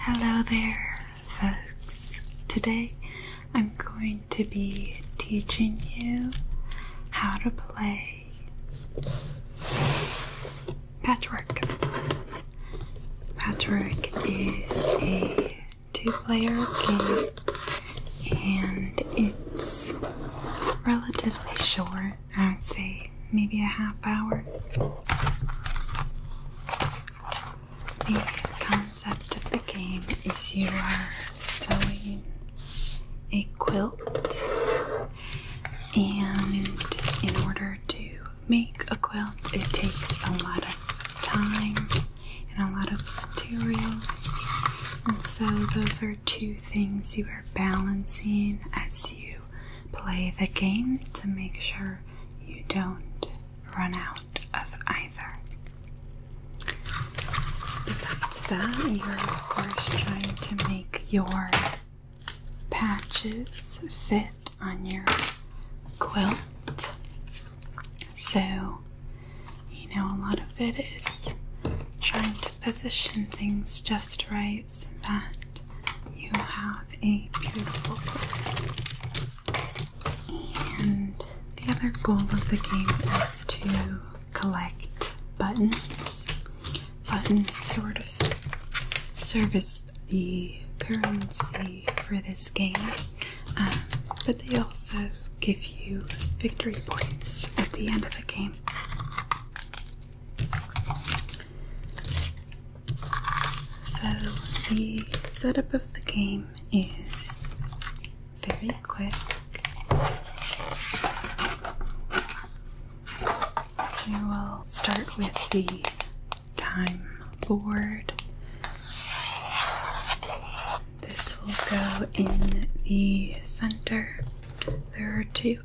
Hello there, folks. Today I'm going to be teaching you how to play patchwork. Patchwork is a two player game and it's relatively short. I would say maybe a half hour. The concept of the game is you are sewing a quilt, and in order to make a quilt, it takes a lot of time and a lot of materials. And so, those are two things you are balancing as you play the game to make sure you don't run out of either. Besides that, you're of course trying to make your patches fit on your quilt. So, you know, a lot of it is trying to position things just right that you have a beautiful goal. And the other goal of the game is to collect buttons. Buttons sort of serve as the currency for this game, um, but they also give you victory points at the end of the game. So, the setup of the game is very quick. We will start with the time board. This will go in the center. There are two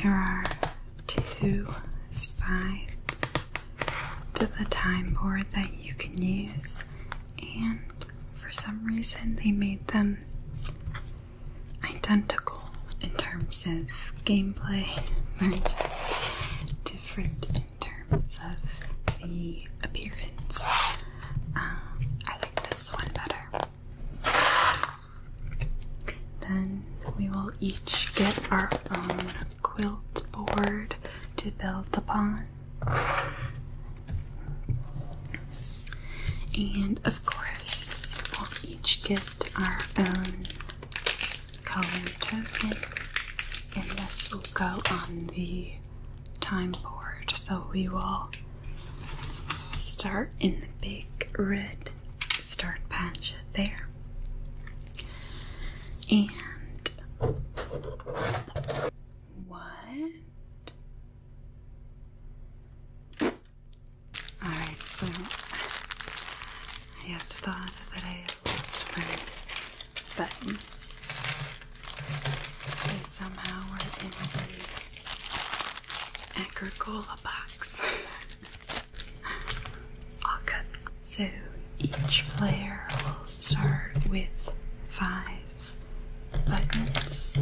there are two sides to the time board that you can use, and for some reason, they made them identical in terms of gameplay, they different in terms of the appearance. Um, I like this one better. Then we will each get our own quilt board to build upon. And of course, we'll each get our own color token and this will go on the time board so we will start in the big red start patch there and what Alright, I just thought that I lost my button. They somehow were in the Agricola box. All So each player will start with five buttons.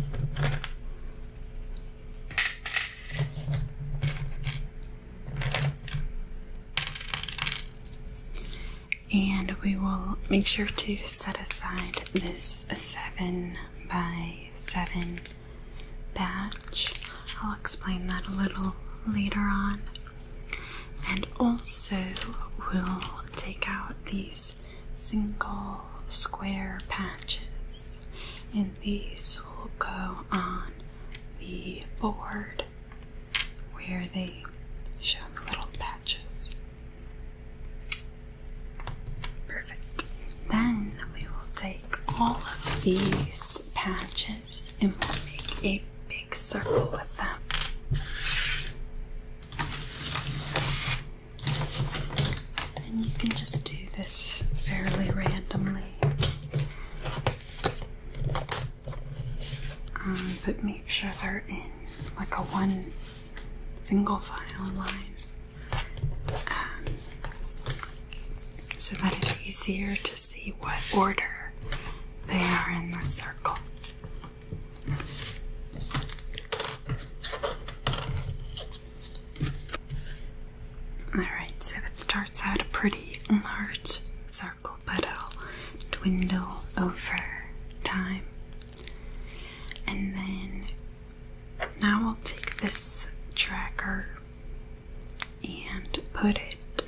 And we will make sure to set aside this 7 by 7 batch. I'll explain that a little later on. And also, we'll take out these single square patches these will go on the board where they show the little patches. Perfect. Then we will take all of these patches and we'll make a big circle with them. And you can just do this fairly randomly. Um, but make sure they're in like a one single file line um, so that it's easier to see what order they are in the circle. Alright, so it starts out a pretty large circle, but it will dwindle over time. And then now I'll take this tracker and put it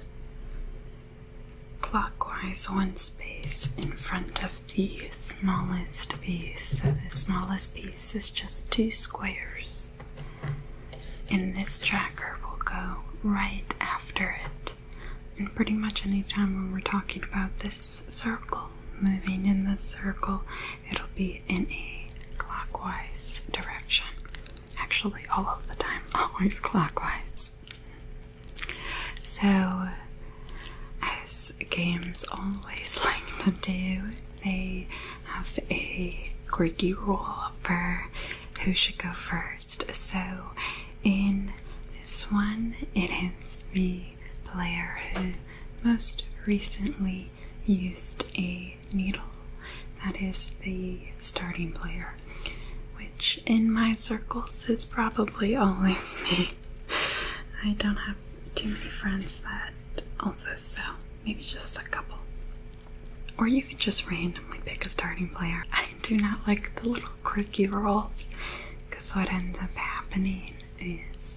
clockwise one space in front of the smallest piece. So the smallest piece is just two squares numbers. And this tracker will go right after it. And pretty much any time when we're talking about this circle, moving in this circle, it'll be in a clockwise direction. Actually, all of the time, always clockwise. So, as games always like to do, they have a quirky rule for who should go first. So, in this one, it is the player who most recently used a needle. That is the starting player, which in my circles is probably always me. I don't have too many friends that also sell. Maybe just a couple. Or you can just randomly pick a starting player. I do not like the little quirky roles because what ends up happening is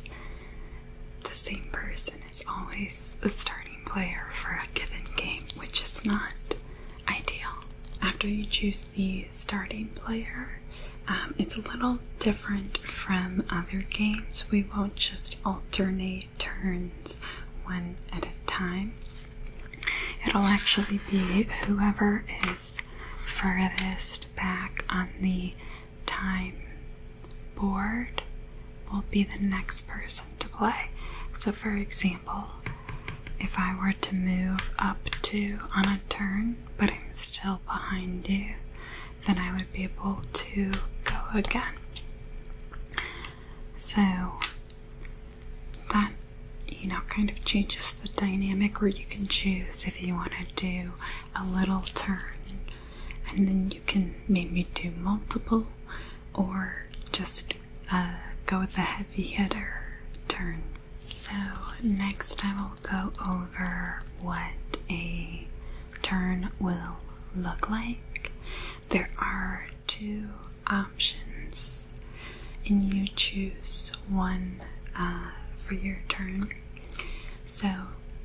the same person is always the starting player for a given game, which is not ideal. After you choose the starting player, um, it's a little different from other games. We won't just alternate turns one at a time. It'll actually be whoever is furthest back on the time board will be the next person to play. So, for example, if I were to move up two on a turn, but I'm still behind you, then I would be able to go again. So that you know kind of changes the dynamic where you can choose if you want to do a little turn and then you can maybe do multiple or just uh, go with the heavy hitter turn. So next I will go over what a turn will look like. There are two options, and you choose one uh, for your turn. So,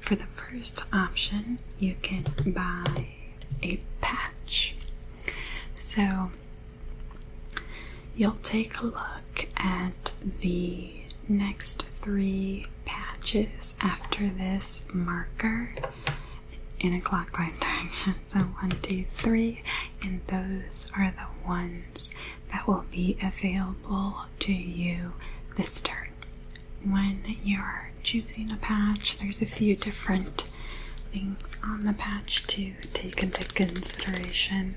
for the first option, you can buy a patch. So, you'll take a look at the next three patches after this marker in a clockwise direction. So one, two, three, and those are the ones that will be available to you this turn. When you're choosing a patch, there's a few different things on the patch to take into consideration.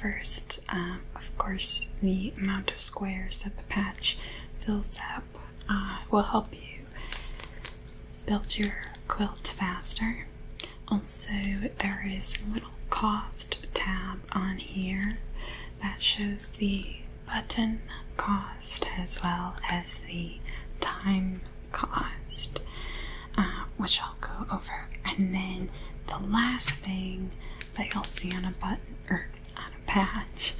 First, um, of course the amount of squares that the patch fills up uh, will help you build your quilt faster. Also, there is a little cost tab on here that shows the button cost as well as the time cost, uh, which I'll go over. And then the last thing that you'll see on a button on a patch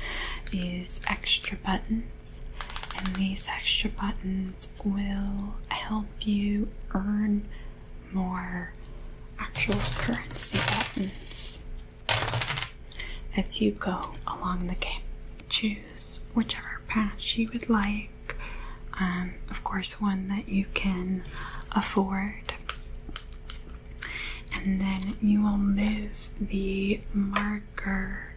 is extra buttons, and these extra buttons will help you earn more actual currency buttons as you go along the game. Choose whichever patch you would like. Um, of course, one that you can afford and then you will move the marker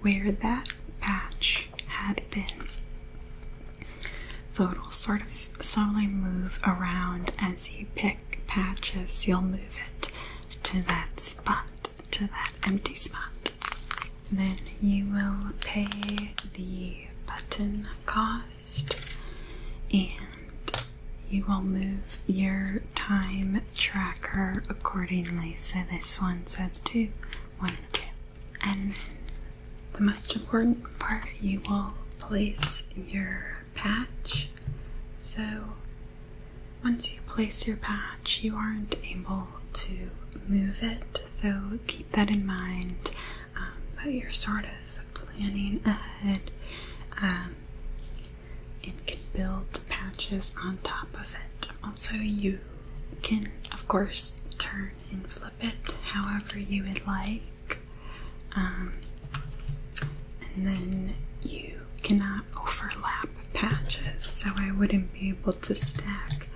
where that patch had been. So it'll sort of slowly move around as you pick patches, you'll move it to that spot, to that empty spot. Then you will pay the button cost and you will move your time tracker accordingly. So this one says two, one, and two. And then the most important part you will place your patch. So once you place your patch, you aren't able to move it, so keep that in mind but um, you're sort of planning ahead um, and can build patches on top of it. Also, you can, of course, turn and flip it however you would like, um, and then you cannot overlap patches, so I wouldn't be able to stack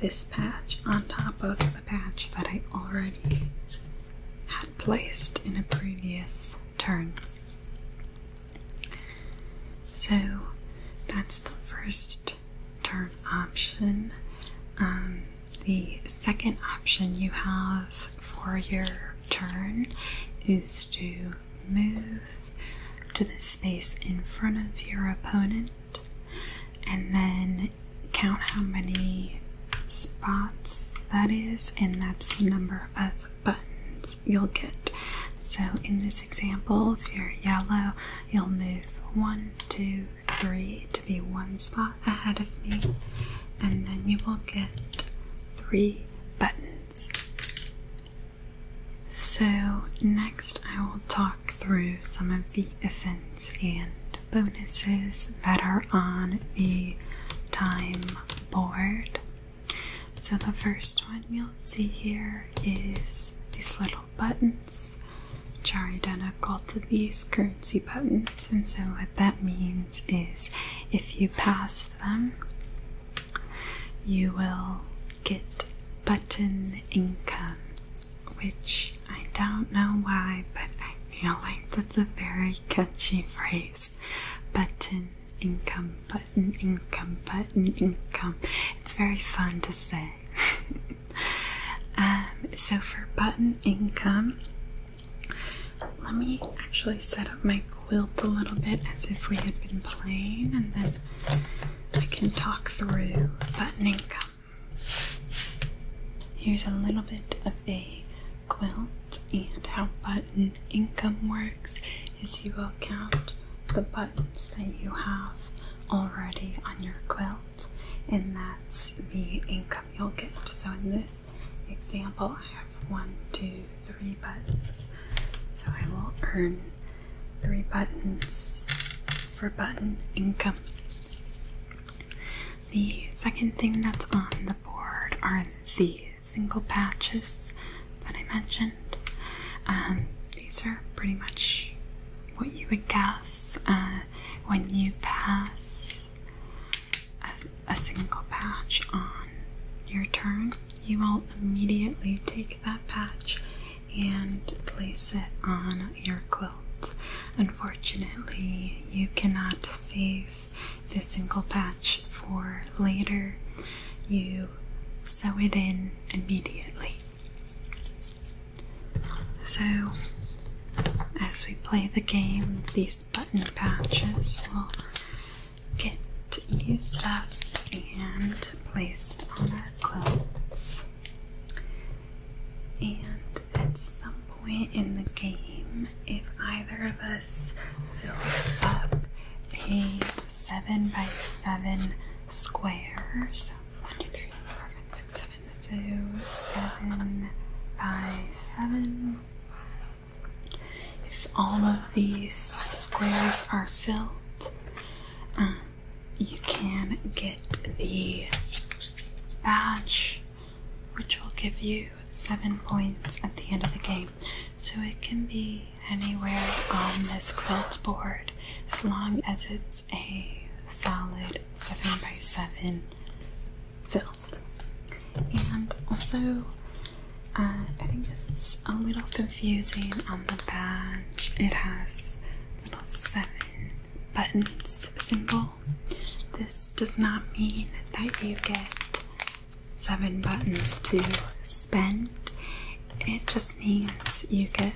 this patch on top of the patch that I already placed in a previous turn. So that's the first turn option. Um, the second option you have for your turn is to move to the space in front of your opponent and then count how many spots that is, and that's the number of buttons you'll get. So, in this example, if you're yellow, you'll move one, two, three to be one spot ahead of me, and then you will get three buttons. So, next I will talk through some of the events and bonuses that are on the time board. So, the first one you'll see here is these little buttons, which are identical to these currency buttons. And so, what that means is if you pass them, you will get button income which I don't know why, but I feel like that's a very catchy phrase. Button income, button income, button income. It's very fun to say. um, so for button income, let me actually set up my quilt a little bit as if we had been playing, and then I can talk through button income. Here's a little bit of a quilt and how button income works is you will count the buttons that you have already on your quilt and that's the income you'll get. So in this example I have one, two, three buttons. So I will earn three buttons for button income. The second thing that's on the board are the single patches that I mentioned. Um, these are pretty much what you would guess uh, when you pass a single patch on your turn. You will immediately take that patch and place it on your quilt. Unfortunately, you cannot save this single patch for later. You sew it in immediately. So, as we play the game, these button patches will get used up and placed on our quilts. And at some point in the game, if either of us fills up a 7 by 7 square, so 1, 2, 7, by 7. If all of these squares are filled, um, you can get the badge, which will give you seven points at the end of the game. So it can be anywhere on this quilt board as long as it's a solid 7 by 7 filled. And also, uh, I think this is a little confusing on the badge. It has little seven buttons symbol. This does not mean that you get seven buttons to spend, it just means you get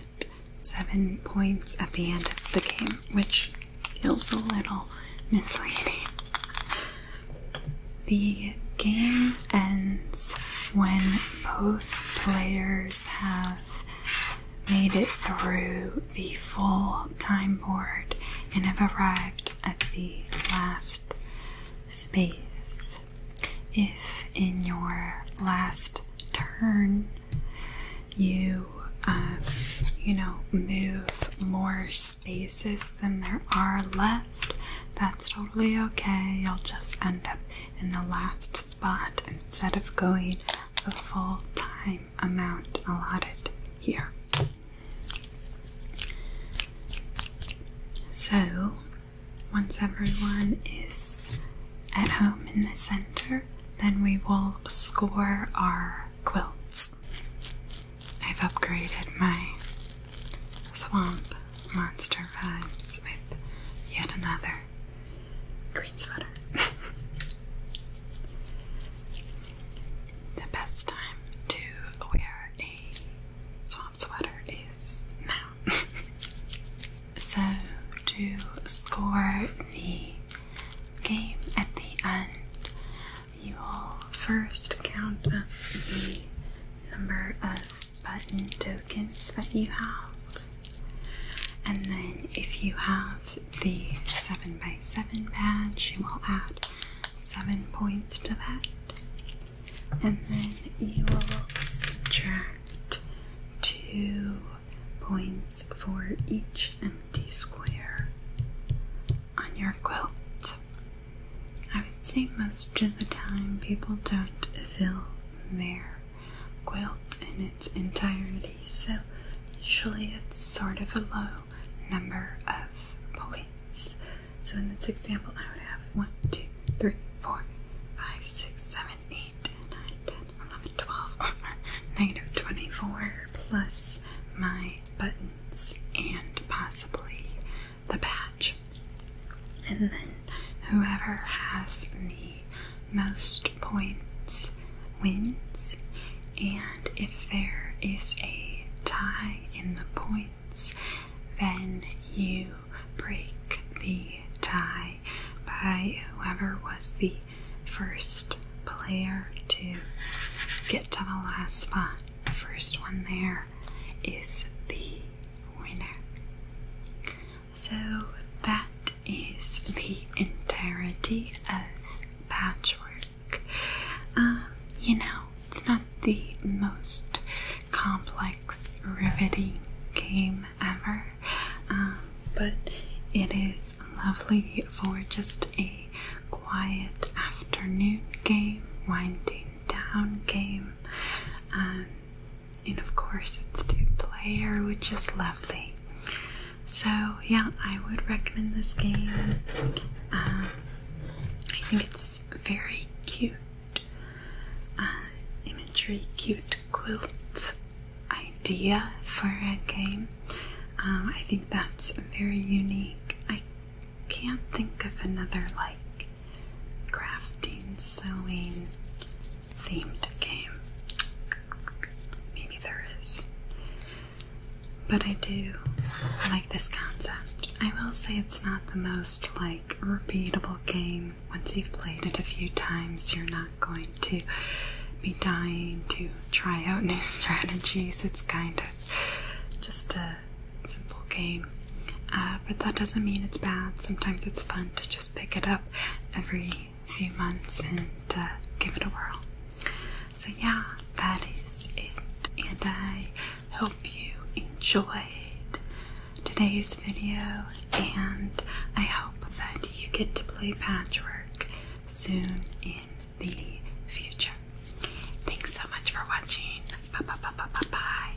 seven points at the end of the game, which feels a little misleading. The game ends when both players have made it through the full time board and have arrived at the last space. If in your last turn you um, you know move more spaces than there are left, that's totally okay. You'll just end up in the last spot instead of going the full time amount allotted here. So, once everyone is at home in the center, then we will score our quilts. I've upgraded my swamp monster vibes with yet another Green sweater. the best time to wear a swamp sweater is now. so, to score the game at the end, you will first count the number of button tokens that you have. And then if you have the 7x7 badge, you will add 7 points to that. And then you will subtract 2 points for each empty square on your quilt. I would say most of the time people don't fill there quilt in its entirety, so usually it's sort of a low number of points. So in this example, I would have 1, 2, 3, 4, 5, 6, 7, 8, 9, 10, 11, 12, 24 plus my buttons and possibly the patch. And then whoever has the most points wins, and if there is a tie in the points, then you break the tie by whoever was the first player to get to the last spot. The first one there is the winner. So that is the entirety of patchwork. Um, you know, it's not the most complex, riveting game ever, um, but it is lovely for just a quiet afternoon game, winding down game. Um, and of course it's two player, which is lovely. So, yeah, I would recommend this game. Um, I think it's very cute uh, imagery, cute quilt idea for a game. Um, I think that's very unique. I can't think of another like crafting, sewing themed game. Maybe there is. But I do like this concept. I will say it's not the most like repeatable game. Once you've played it a few times, you're not going to be dying to try out new strategies. It's kind of just a simple game game. Uh, but that doesn't mean it's bad. Sometimes it's fun to just pick it up every few months and uh, give it a whirl. So, yeah, that is it. And I hope you enjoyed today's video. And I hope that you get to play patchwork soon in the future. Thanks so much for watching. Bye bye bye bye bye bye.